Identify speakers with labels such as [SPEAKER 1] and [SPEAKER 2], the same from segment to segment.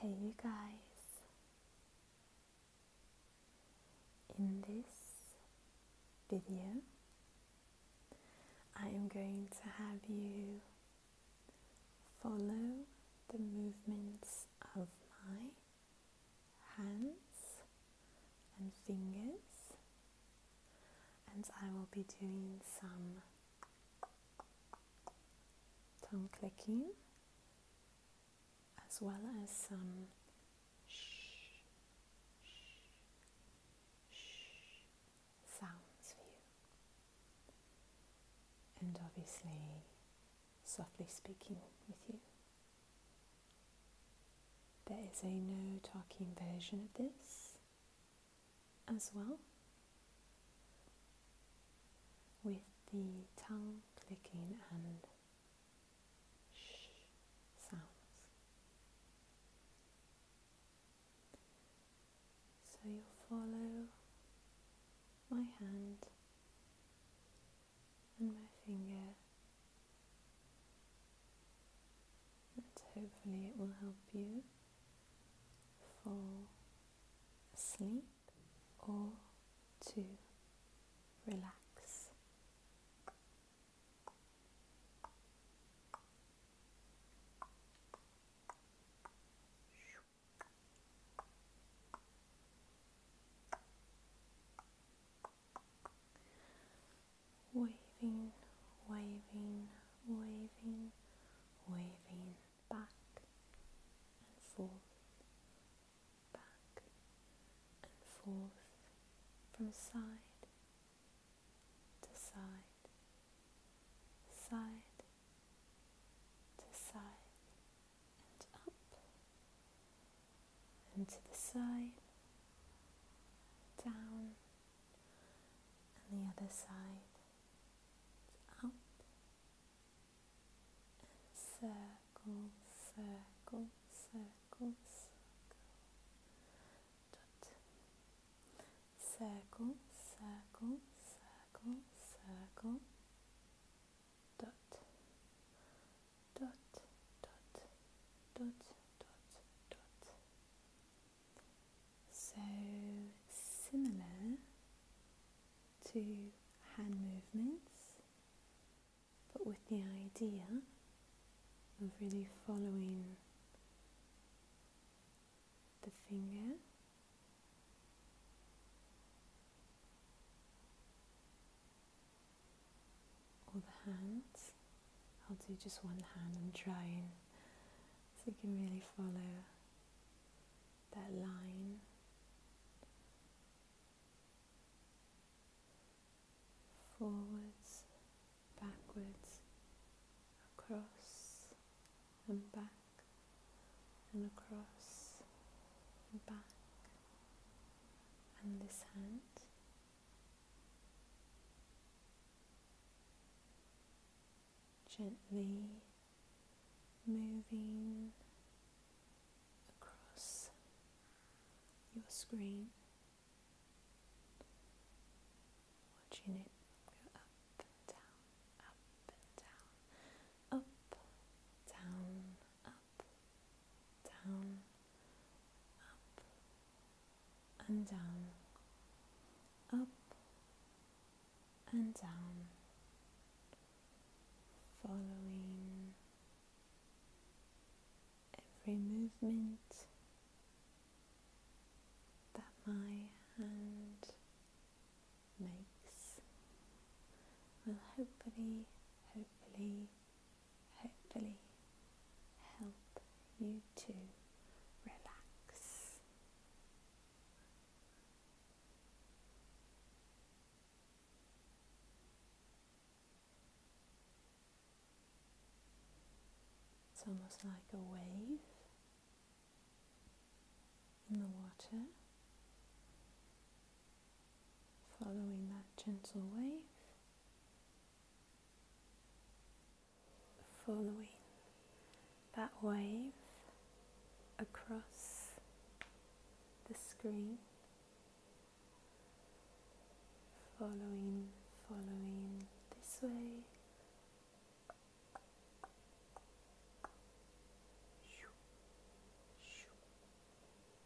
[SPEAKER 1] Hey guys! In this video I am going to have you follow the movements of my hands and fingers and I will be doing some tongue clicking as well as some shh, sounds for you, and obviously softly speaking with you. There is a no talking version of this as well with the tongue clicking and sh sounds. So you'll follow my hand and my finger and hopefully, it will help you fall asleep or to relax waving, waving, waving, waving back and forth, back and forth from side to side, side to side, and up and to the side, down and the other side it's up and circle, circle, circle, circle, dot. Circle, circle, circle, circle, dot dot dot dot dot dot so similar to hand movements but with the idea of really following the finger all the hands. I'll do just one hand. I'm trying so you can really follow that line. Forwards, backwards, across and back and across and back and this hand Gently moving across your screen, watching it go up and down, up and down, up, down, up, down, up and down, up and down, following every movement that my hand makes will hopefully, hopefully hopefully help you to relax. It's almost like a wave in the water, following that gentle wave following that wave across the screen, following, following this way.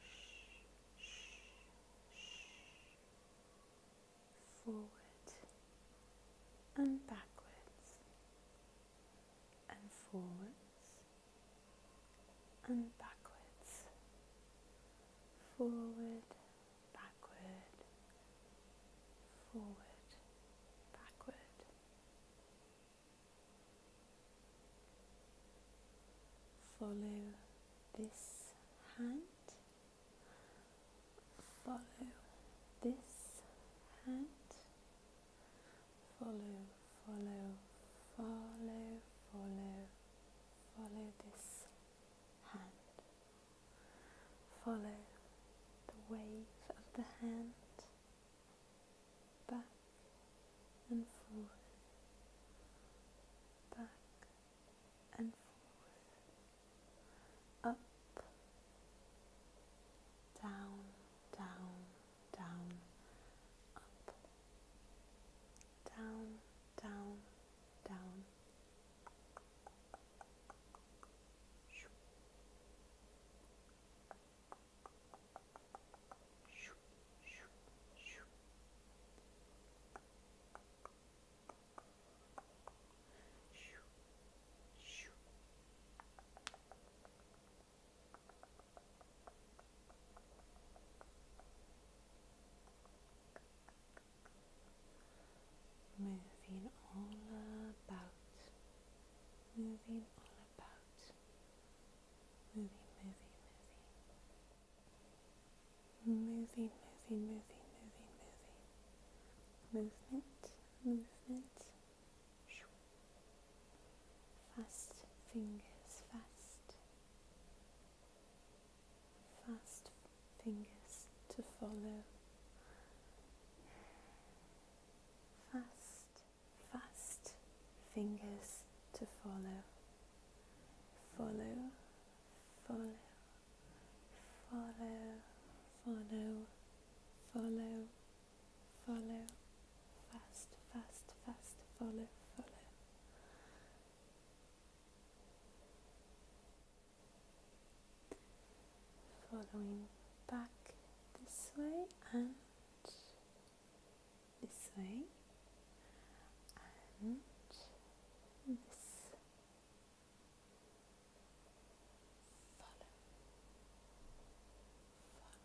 [SPEAKER 1] shh, shh. forward and backwards and forwards and backwards forward backward forward backward Follow this hand, follow this hand, follow, follow, follow, follow, follow this hand, follow the wave of the hand back and forth, back and forth, up, down, down, down, up, down, down, down. Moving all about, moving all about. Movie, movie, movie. Movie, movie, movie, movie, movie. Movement, movement. Fast fingers, fast. Fast fingers to follow. Fast fast fingers to follow, follow, follow, follow, follow, follow, follow, fast, fast, fast, follow, follow. Following back this way and this way and this follow follow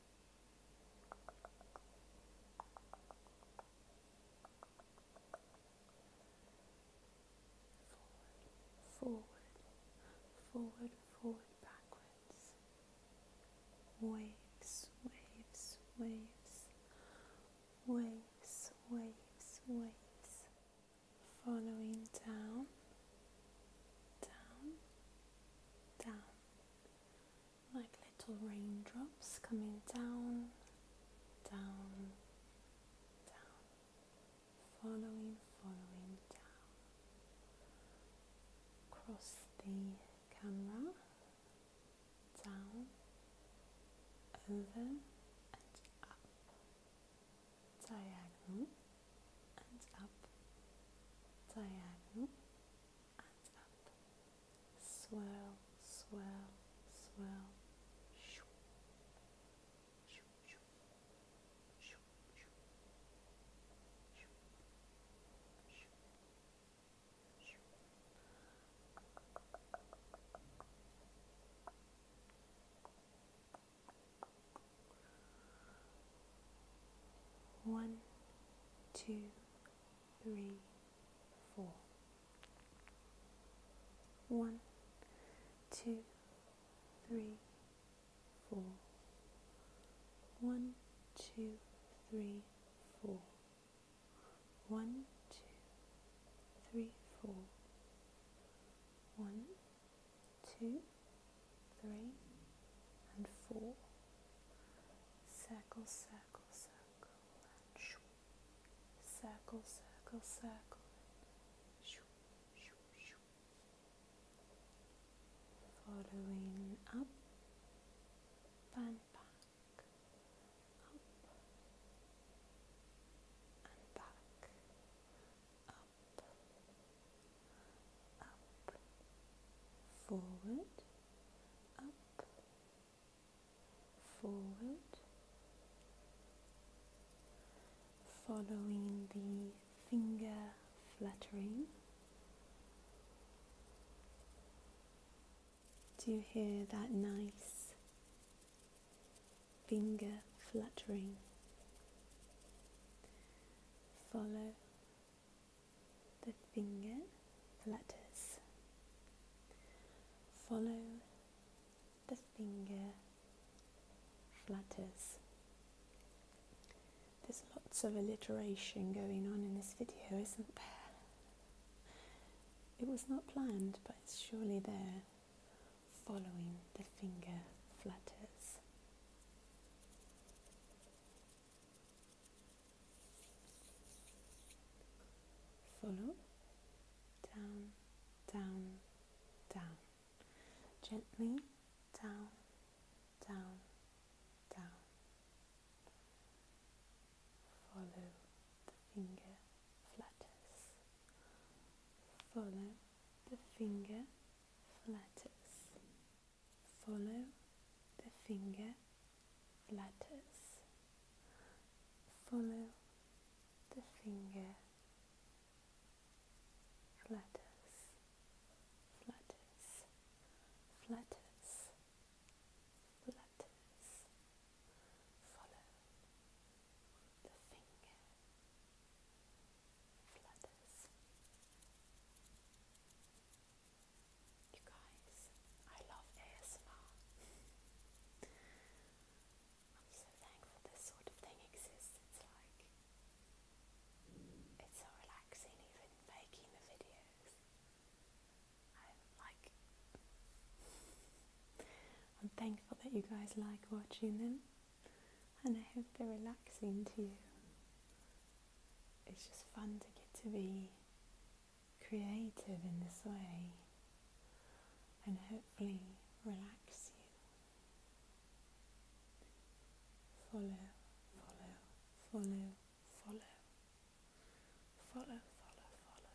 [SPEAKER 1] forward, forward, forward, backwards. Waves, waves, waves, waves, waves, waves. Following down, down, down, like little raindrops coming down, down, down, following, following down across the camera, down, over and up, diagonal and up, diagonal Swell, swell, swell. swirl, One, two, three, four. One, two, three, four. One, two, three, four. One, two, three, four. One, two, three, and four circle, circle, circle, and shoo. Circle, circle, circle, and shoo, shoo, shoo. Following up and back, up and back, up up, forward, up, forward, following the finger fluttering. Do you hear that nice finger fluttering? Follow the finger, flutters. Follow the finger flutters. There's lots of alliteration going on in this video, isn't there? It was not planned, but it's surely there. Following the finger flutters. Follow down, down, down, gently down, down, down. Follow the finger flutters, follow the finger flutters follow the finger letters follow the finger flutters flutters flutters flutters follow the finger you guys, I love ASMR. I'm so thankful this sort of thing exists. It's like it's so relaxing even making the videos. I'm like I'm thankful that you guys like watching them and I hope they're relaxing to you it's just fun to get to be creative in this way and hopefully relax you. Follow, follow, follow, follow, follow, follow, follow.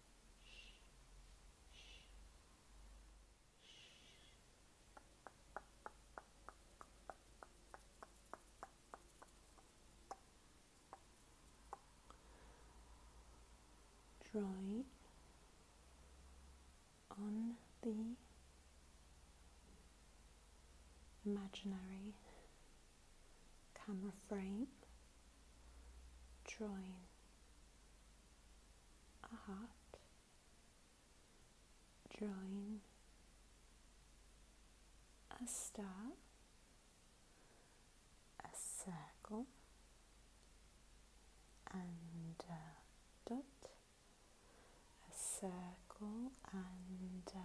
[SPEAKER 1] drawing on the imaginary camera frame, drawing a heart, drawing a star, a circle, and a dot, a circle, and a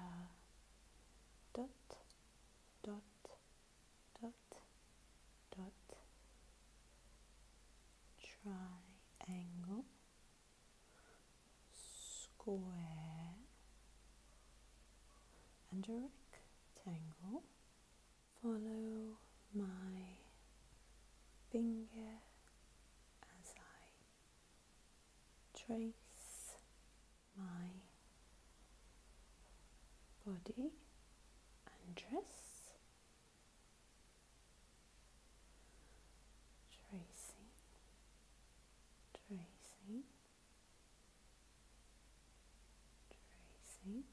[SPEAKER 1] dot, dot, dot dot triangle square and a rectangle follow my finger as I trace my body and dress, tracing, tracing, tracing,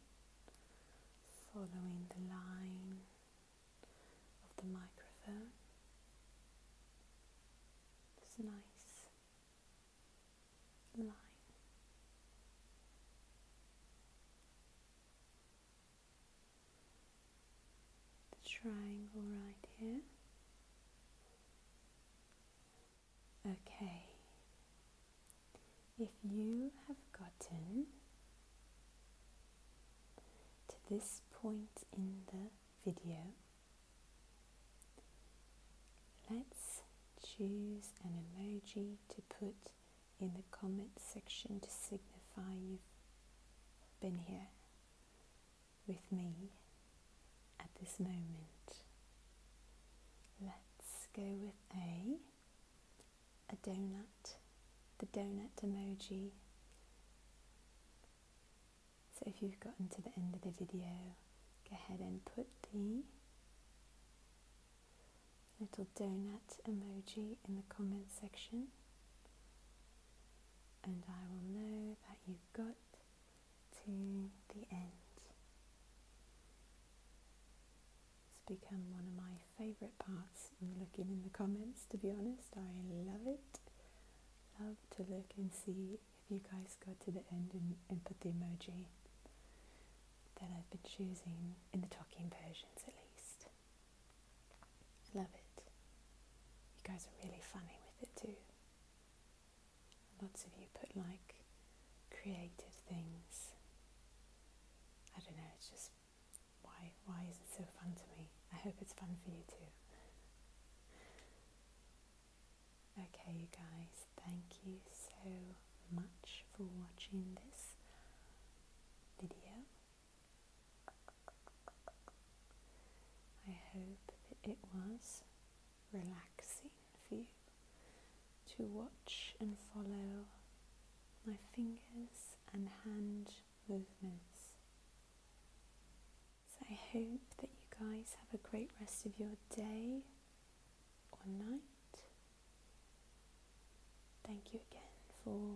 [SPEAKER 1] following the line of the microphone. It's nice the triangle right here. Okay, if you have gotten to this point in the video, let's Choose an emoji to put in the comment section to signify you've been here with me at this moment. Let's go with A, a donut, the donut emoji. So if you've gotten to the end of the video, go ahead and put the little donut emoji in the comment section, and I will know that you've got to the end. It's become one of my favourite parts looking in the comments, to be honest. I love it. Love to look and see if you guys got to the end and put the emoji that I've been choosing in the talking versions at least. I love it. You guys are really funny with it too. Lots of you put like creative things. I don't know, it's just why why is it so fun to me? I hope it's fun for you too. Okay, guys, thank you so much for watching this video. I hope that it was relaxing for you to watch and follow my fingers and hand movements. So I hope that you guys have a great rest of your day one night. Thank you again for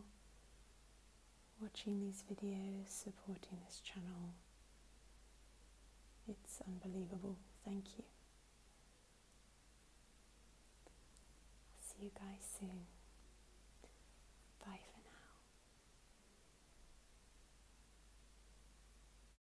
[SPEAKER 1] watching these videos, supporting this channel. It's unbelievable. Thank you. See you guys soon. Bye for now.